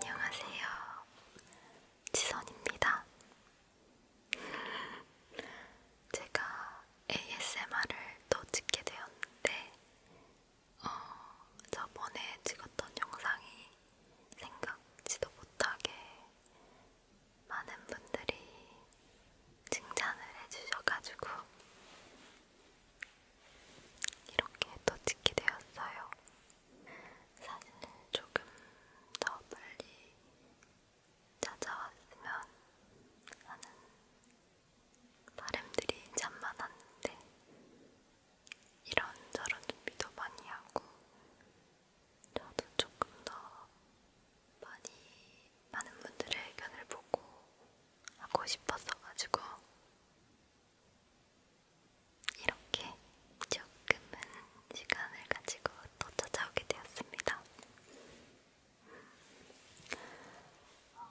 안녕하세요. 지선입니다. 제가 ASMR을 또 찍게 되었는데, 어, 저번에 찍었던 영상이 생각지도 못하게 많은 분들이 칭찬을 해주셔가지고, 이렇게 또 찍게 되었어요. 사진을 조금 더 빨리 찾아왔으면 하는 바람들이 참 많았는데 이런저런 준비도 많이 하고 저도 조금 더 많이 많은 분들의 의견을 보고 하고 싶었어가지고 이렇게 조금은 시간을 가지고 또 찾아오게 되었습니다. 어,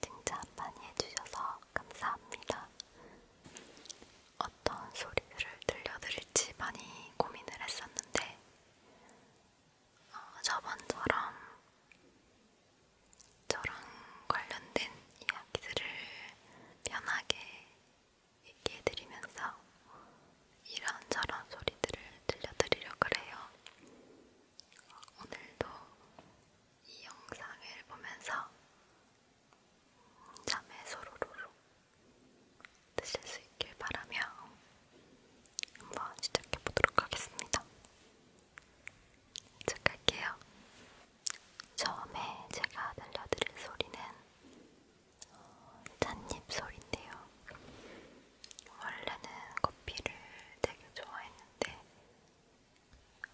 칭찬 많이 해주셔서 감사합니다. 어떤 소리를 들려드릴지 많이 고민을 했었는데 어, 저번처럼 저랑 관련된 이야기들을 편하게 얘기해드리면서 이런저런 소리들을 들려드리려고 해요. 오늘도 이 영상을 보면서 잠에 소로로로 드실 수 있길 바라며 한번 시작해보도록 하겠습니다. 시작할게요. 처음에 제가 들려드릴 소리는 어, 찻잎 소리인데요. 원래는 커피를 되게 좋아했는데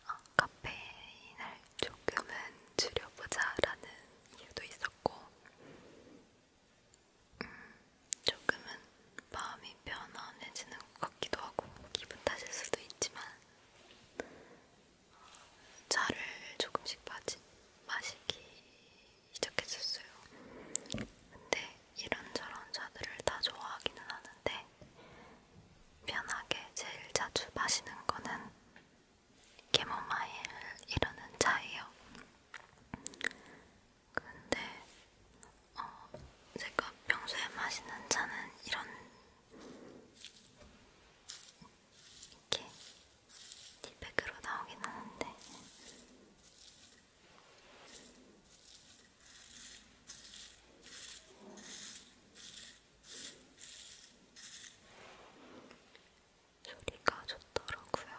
아, 카페인을 조금은 줄여보자라는 이유도 있었고 음, 조금은 마음이 편안해지는 것 같기도 하고 기분 탓일 수도 있지만 어, 차를 조금씩 마시, 마시기 시작했었어요. 근데 이런저런 차들을 다 좋아하기는 하는데 편하게 제일 자주 마시는 거는 캐모마일이라는 차예요. 근데 어, 제가 평소에 마시는 차는 이런 이렇게 티백으로 나오긴 하는데 소리가 좋더라고요.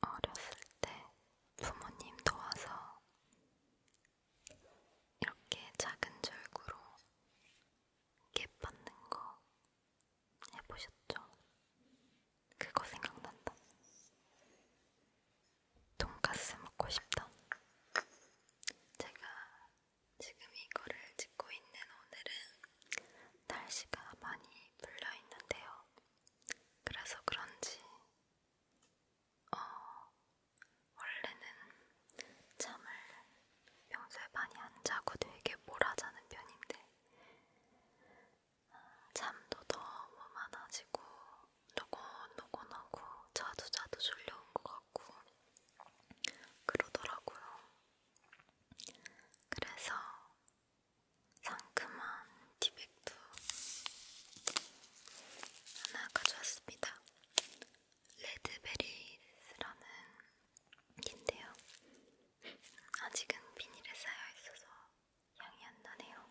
어렸을 때 부모님 도와서 이렇게 작은 절구로 깻 받는 거 해보셨죠? 그거 생각난다. 돈가스 먹고 싶다. 제가 지금 이거를 찍고 있는 오늘은 날씨가 많이 불려 있는데요. 그래서 그런지 어, 원래는 잠을 평소에 많이 안 자고 되게 몰아자는 편인데 아, 잠도 너무 많아지고 노곤노곤하고 자두자두 졸려온 것 같고 그러더라고요. 그래서 상큼한 티백도 하나 가져왔습니다. 레드베리라는 인데요. 아직은 비닐에 쌓여 있어서 향이 안 나네요.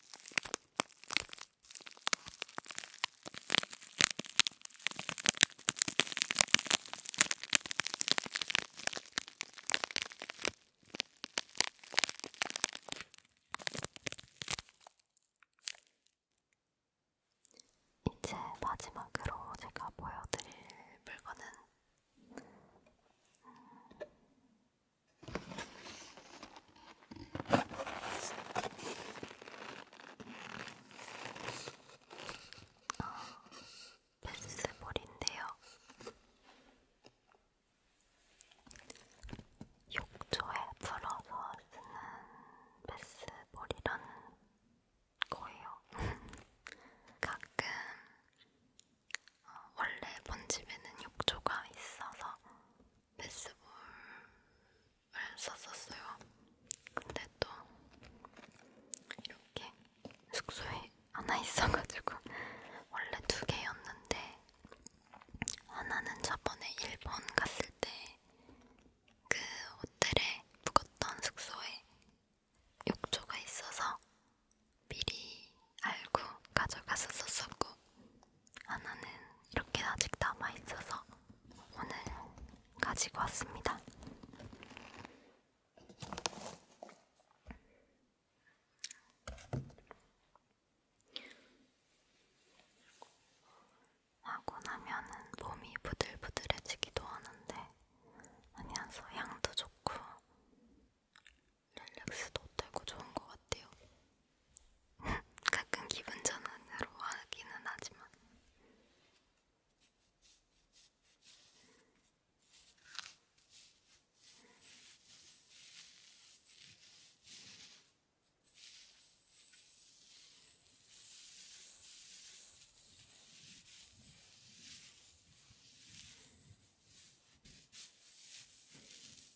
이제 마지막으로 제가 보여드릴 물건은 음, 베스볼인데요. 욕조에 불어서 쓰는 베스볼이라는 거예요. 가끔 어, 원래 본 집에는 욕조가 있어서 베스볼을 썼었어요. 근데 또 이렇게 숙소에 하나 있어가지고 원래 두 개였는데 하나는 저번에 일본 갔을 때 그 호텔에 묵었던 숙소에 욕조가 있어서 미리 알고 가져갔었었고 하나는 이렇게 아직 남아있어서 오늘 가지고 왔습니다. 하고 나면은 몸이 부들부들해지기도 하는데 아니면서 향도 좋고 릴렉스도 되고 좋은 것 같아요. 가끔 기분 전환으로 하기는 하지만.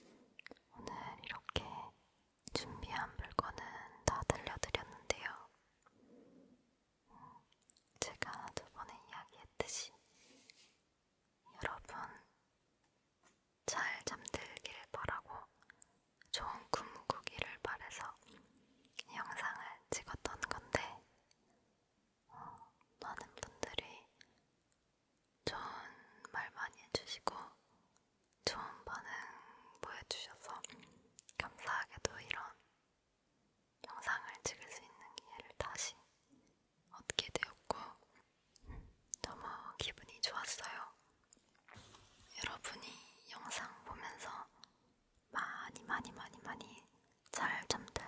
오늘 이렇게 준비한 물건은 다 들려드렸는데요. 제가 저번에 이야기했듯이 여러분 잘 잠들길 바라고 좋은 꿈 꾸기를 바래서 영상을 찍었던 건데 어, 많은 분들이 좋은 말 많이 해주시고 좋은 반응 보여주셔서 감사하게도 이런 영상을 찍을 수 있는 기회를 다시 얻게 되었고 너무 기분이 좋았어요. 여러분이 영상 보면서 많이 많이 많이 많이 잘 잠들길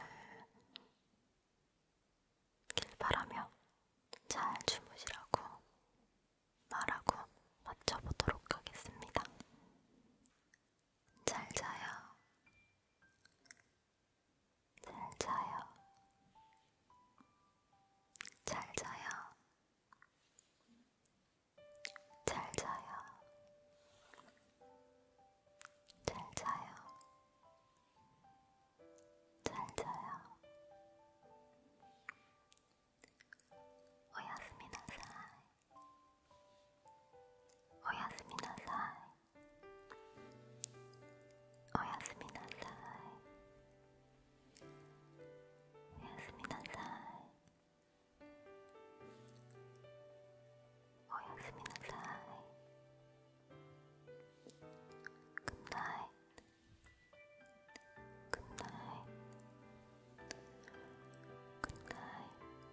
바라며 잘 주무시라고 말하고 맞춰보도록 하겠습니다. 잘 자요. 잘 자요. 잘 자요. 잘 자요. 잘 자요. 잘 자요. 오야스미 나사이. おやすみなさいおやすみなさいおやすみなさいおやすみなさい Good night Good night Good night